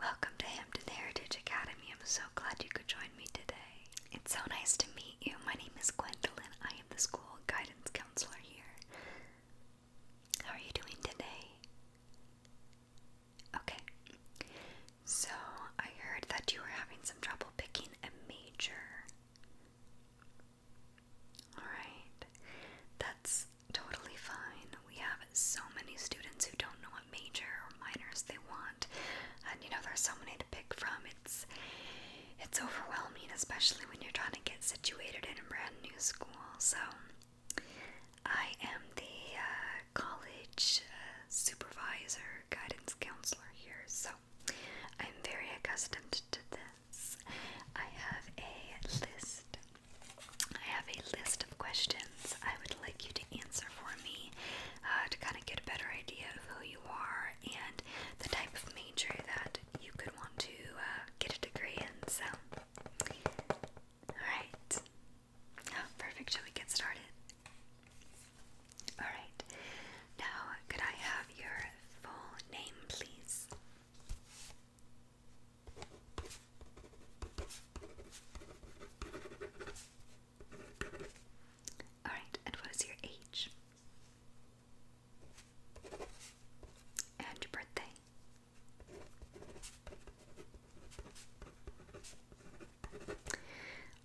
Welcome to Hampton Heritage Academy. I'm so glad you could join me today. It's so nice to meet you. My name is Gwendolyn. I am the school guidance counselor here. How are you doing today? Okay. So, I heard that you were having some trouble picking a major. Alright. That's totally fine. We have so many students who don't know what major or minors they want, and you know there's so many to pick from. It's it's overwhelming, especially when you're trying to get situated in a brand new school. So I am the uh, college uh, supervisor, guidance counselor here. So I'm very accustomed to this. I have a list I have a list of questions I would like you to answer for me uh, to kind of get a better idea of who you are and the type of major that you could want to uh, get a degree in. So, alright. Oh, perfect. Shall we get started? Alright. Now, could I have your full name, please? Alright, and what is your age? And your birthday?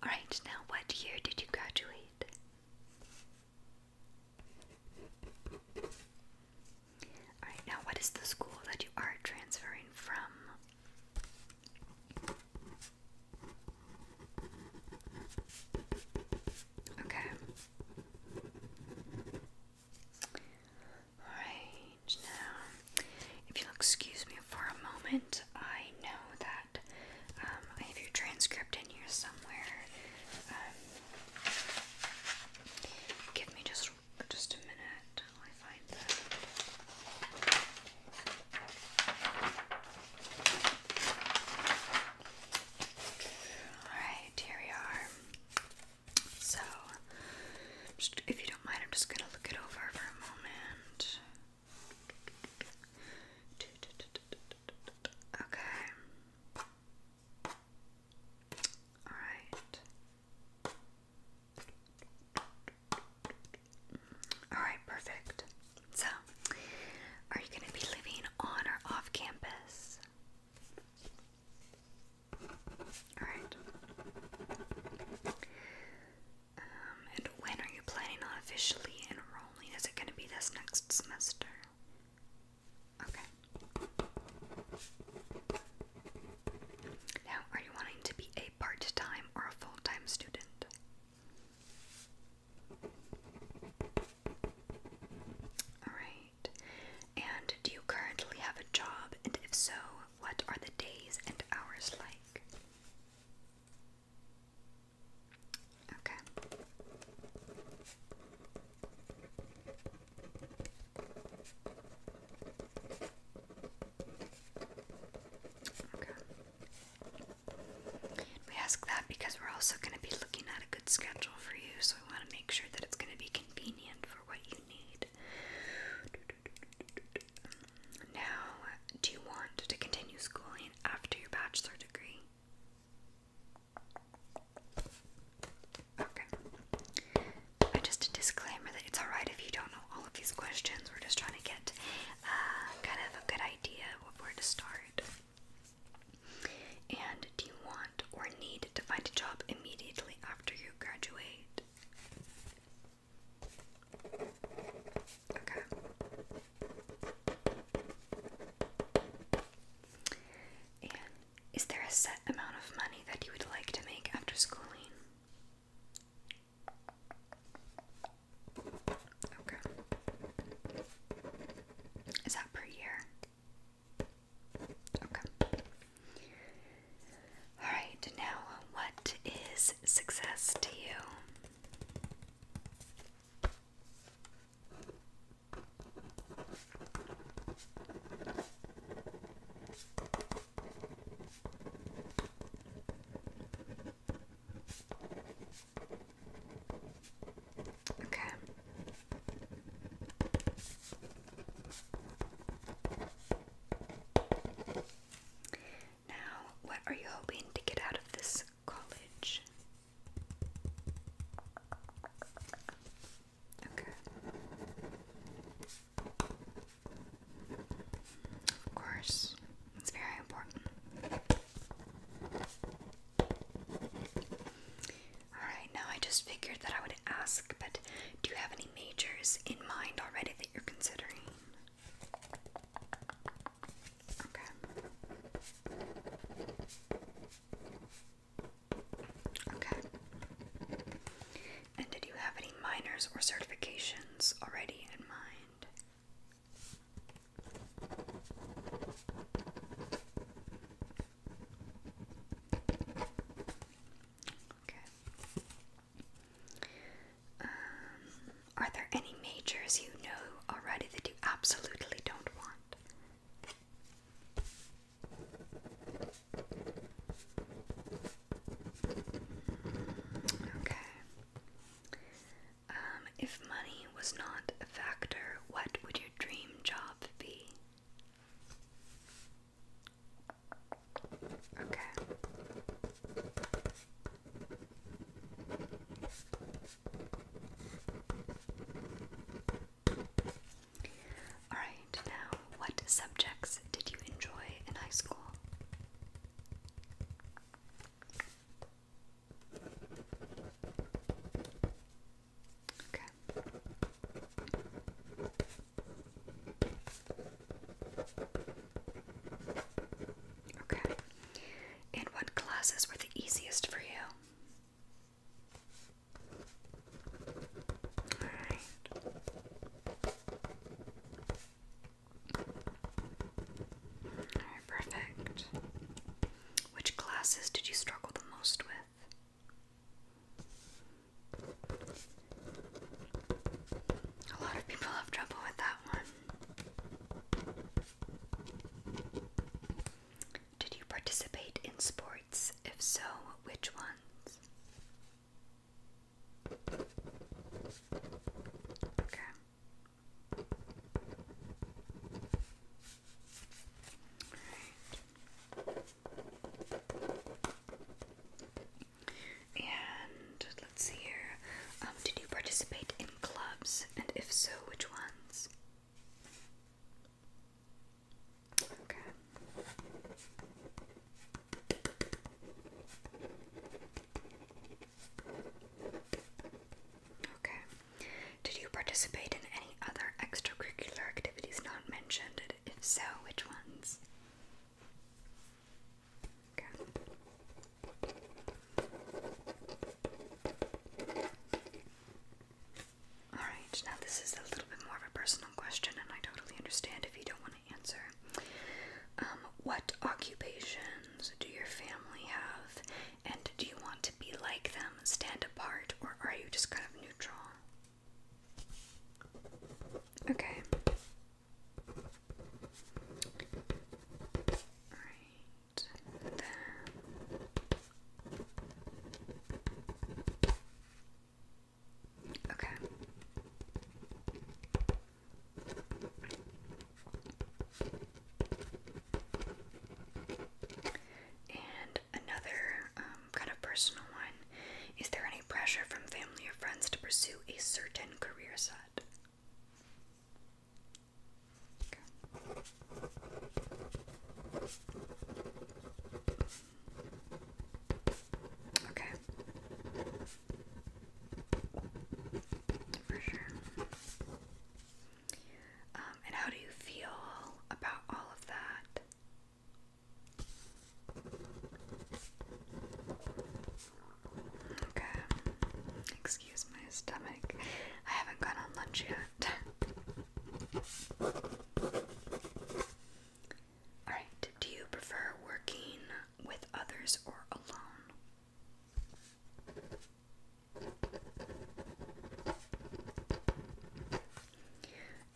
Alright, now what year did you graduate? Alright, now what is the school that you are transferring from? Okay. Alright, now, if you'll excuse me for a moment, I know that um, I have your transcript in here somewhere. Um, give me just just a minute I find that. Alright, here we are. So, if you don't mind, I'm just gonna look it over for a moment. Okay. Alright. Alright, perfect. So, are you going to be living on or off campus? Alright. Um, and when are you planning on officially enrolling? Is it going to be this next semester? Okay. Now, are you wanting to be a part time or a full time student? Alright. And do you currently have a job? And if so, what are the days and hours like? Okay. We ask that because we're also going to be looking at a good schedule for you, so we want to make sure that it's going to be convenient for what you need. Now, do you want to continue schooling after your bachelor degree? Okay. Uh, just a disclaimer that it's alright if you don't know all of these questions. We're just trying to get uh, kind of a good idea where to start. And do you want or need to find a job immediately after you graduate? Okay. And is there a set amount of money that you would like to make after schooling? Okay. Is that per year? Okay. Alright, now what is success to you? Okay. Now, what are you hoping to get out of this college? Of course, it's very important. Alright, now I just figured that I would ask, but do you have any majors in mind already that you're considering? Okay. Okay. And did you have any minors or certifications already in mind? Okay. Um, are there any majors you know already that you absolutely don't want? Okay. Um, if money was not a factor, what would your dream job be? Okay. Alright, now what subjects did you enjoy in high school? Okay. Okay. And what classes were the easiest for you? Alright. perfect. Which classes did you struggle the most with? A lot of people have trouble with that one. Did you participate in sports? If so, which ones? Okay. All right. And let's see here. Um, did you participate in clubs? And if so, which ones? Okay. Okay. Did you participate in any other extracurricular activities not mentioned? If so, which ones? Okay. Alright, now this is a little bit more of a personal question, and I totally understand if you don't answer. Um, what occupations do your family have, and do you want to be like them, stand apart, or are you just kind of neutral? Okay. Alright, then. Okay. And another um, kind of personal one is there any pressure from family or friends to pursue a certain career set? Okay. For sure. Um, and how do you feel about all of that? Okay. Excuse my stomach. I haven't gone on lunch yet. Alright, do you prefer working with others or alone?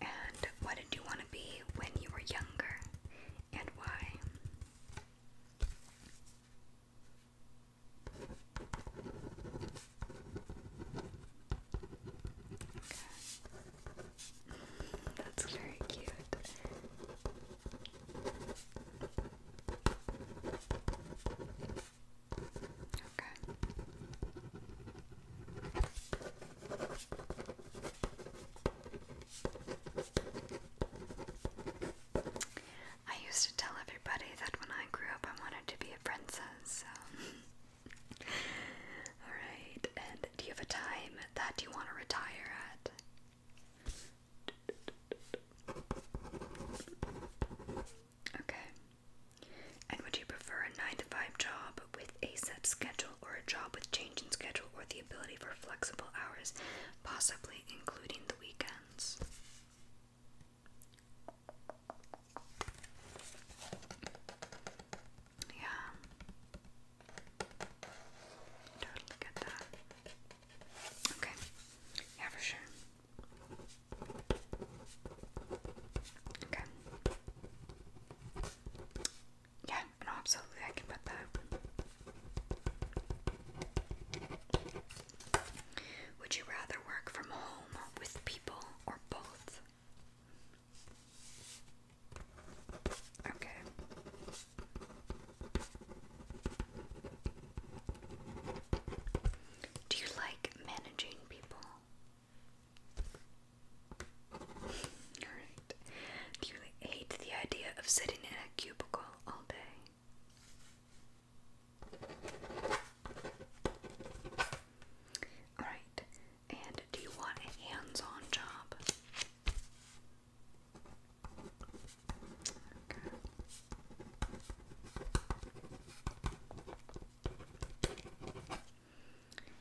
And what did you want to be when you were younger and why? That's very cute. Okay. I used to tell everybody that when I grew up I wanted to be a princess, so Alright, and do you have a time that you want to retire at? Okay. And would you prefer a 9 to 5 job with a set schedule or a job with change in schedule or the ability for flexible hours, possibly including the weekends? Yeah. Totally get that. Okay. Yeah, for sure. Okay. Yeah, no, absolutely, I can put that. Would you rather work from home with people or both? Okay. Do you like managing people? Alright. Do you hate the idea of sitting in a cubicle all day? Alright. And do you want a hands on job?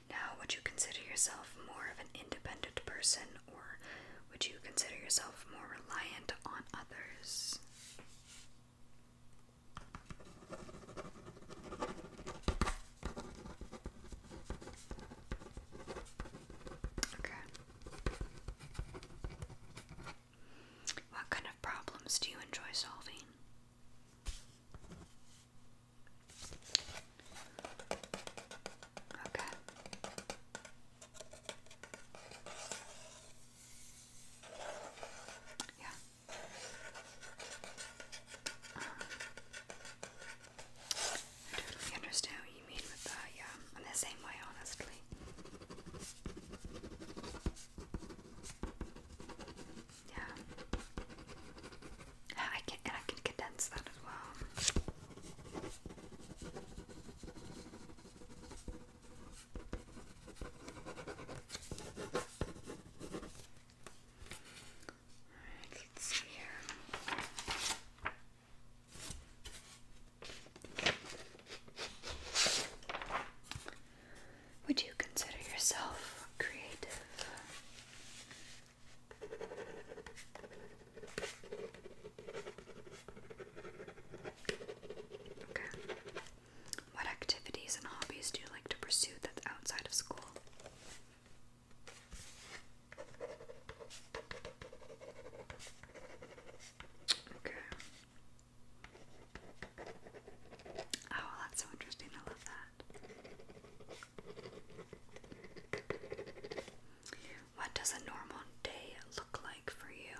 Now, would you consider yourself more of an independent person or would you consider yourself more reliant on others? Okay. What kind of problems do you enjoy solving? Okay. Yeah. Um, I totally understand what you mean with that, yeah. I'm the same way, honestly. Yeah. I can, and I can condense that as well. Would you consider yourself creative? Okay. What activities and hobbies do you like to pursue that's outside of school? Okay. Oh, that's so interesting. I love that. What does a normal day look like for you?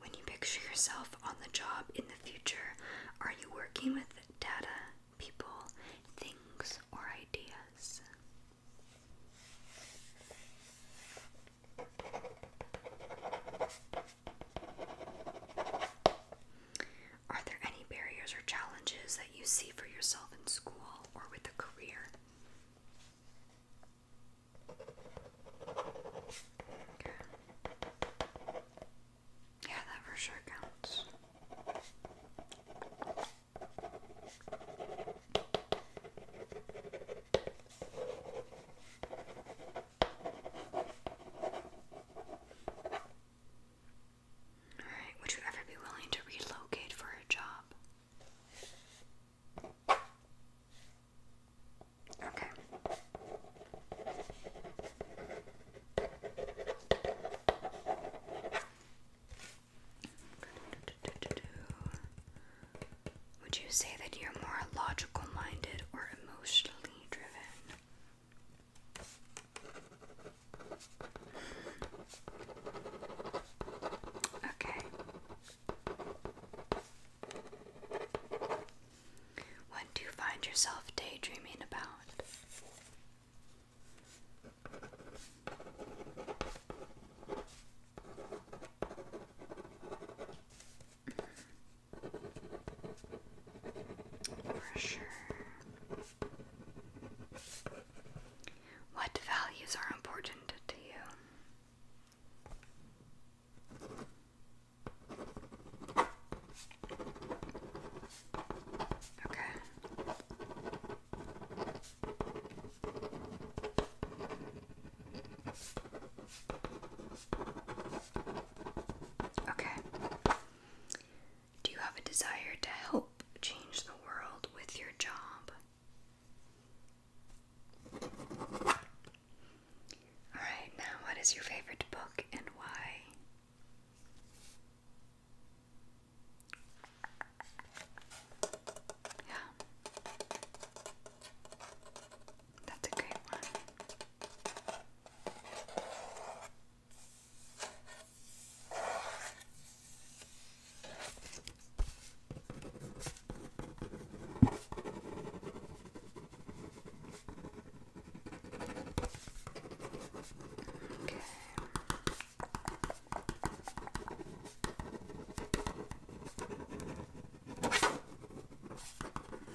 When you picture yourself on the job in the future, are you working with data, people, things, or ideas? Are there any barriers or challenges that you see for yourself in school or with a career? Yeah, that for sure counts. Alright, would you ever be willing to relocate for a job? Okay. Would you say that you're more logical minded or emotionally driven? Okay. What do you find yourself daydreaming about? For sure. What values are important to you? Okay. Okay. Do you have a desire to help change the world with your job? Alright, now what is your favorite book and why? Yeah. That's a great one.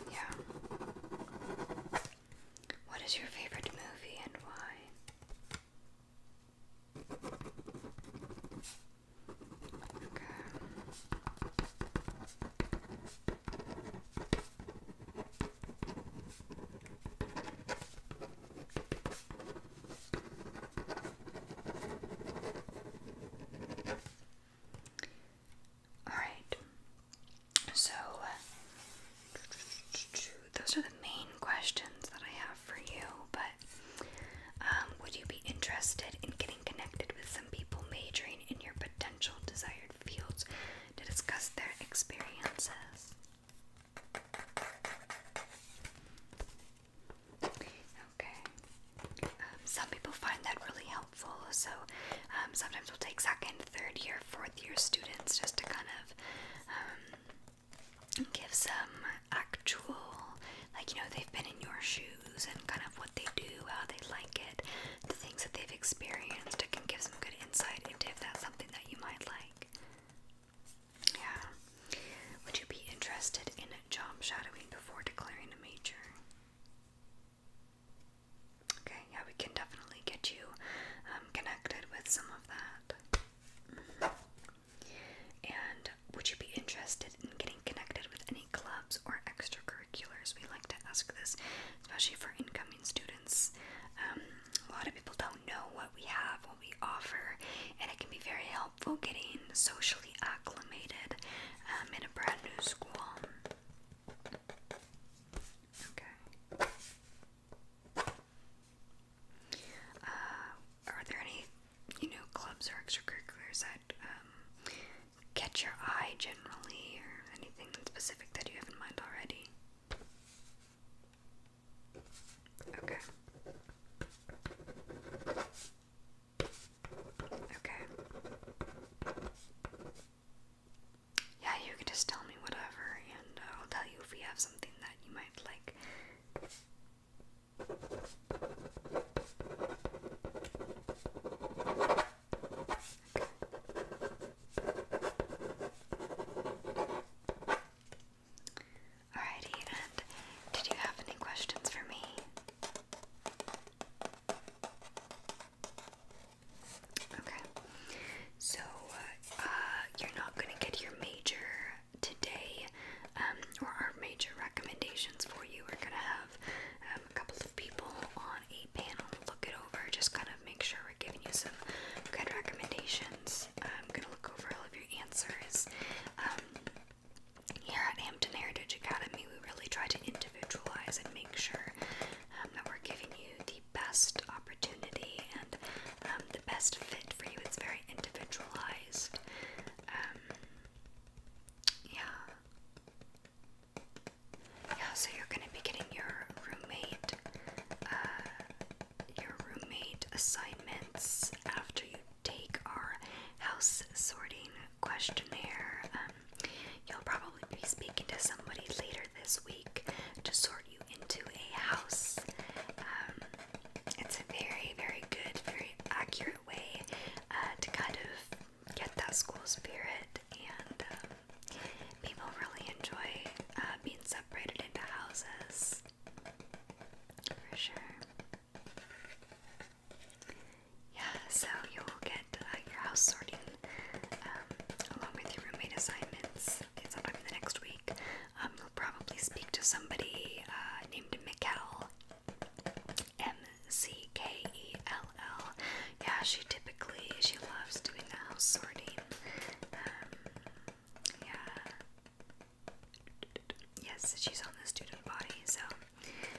Yeah. What is your favorite movie and why? All right. So uh, those are the main questions that I have for you, but um, would you be interested in getting connected with some people majoring in your potential desired fields to discuss their experiences? Okay. Um, some people find that really helpful, so um, sometimes we'll take second, third year, fourth year students just to kind of give some actual like you know they've been in your shoes and kind of what they do, how they like it, the things that they've experienced. It can give some good insight into if that's something that you might like. Yeah. Would you be interested in job shadowing before declaring a major? Okay, yeah, we can definitely get you um, connected with some of that. Mm-hmm. And said, Would you be interested in getting connected with any clubs or extracurriculars? We like to ask this, especially for incoming students. Um, a lot of people don't know what we have, what we offer, and it can be very helpful getting socially acclimated um, in a brand new school. Okay. Uh, are there any you know, clubs or extracurriculars that um, catch your eye generally, or anything specific that you have in mind already? Okay. Okay. Yeah, you can just tell me whatever, and uh, I'll tell you if we have something that you might like. Alrighty, and did you have any questions for me? Okay, so uh, you're not going to get your major today, um, or our major recommendations for you. We're gonna have um, a couple of people on a panel look it over, just kind of make sure we're giving you some good recommendations. I'm gonna look over all of your answers. Um, here at Hampton Heritage Academy, we really try to individualize and make sure that we're giving you the best opportunity and the best fit for you. It's very individualized. Yeah. Yeah, so you're gonna be getting your roommate, uh, your roommate assignments after you take our house sorting questionnaire. Um, you'll probably be speaking to somebody later this week to sort you into a house. Um, it's a very, very good, very accurate way uh, to kind of get that school spirit, and um, people really enjoy uh, being separated into houses for sure. Yeah, so you'll get uh, your house sorting um, along with your roommate assignments okay, sometime in the next week. Um, you'll probably speak to somebody named Mikkel. M-C-K-E-L-L. Yeah, she typically, she loves doing house sorting. Um, yeah. Yes, she's on the student body, so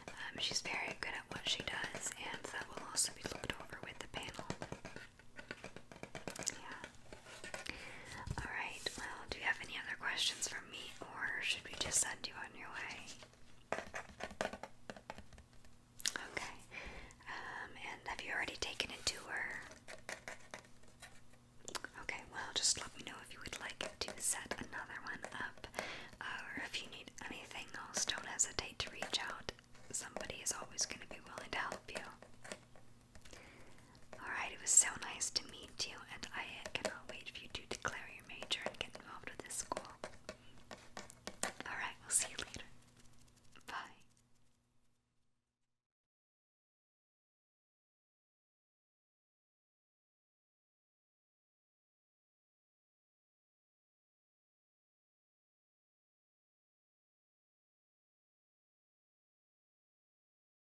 um, she's very good at what she does, and that will also be looked over with the panel. Yeah. Alright, well, do you have any other questions for me, or should we just send you on Okay. Um, and have you already taken a tour? Okay, well, just let me know if you would like to set another one up, uh, or if you need anything else, don't hesitate to reach out. Somebody is always going to be willing to help you. Alright, it was so nice to meet you, and I cannot wait for you to declare major and get involved with this school. Alright, we'll see you later. Bye.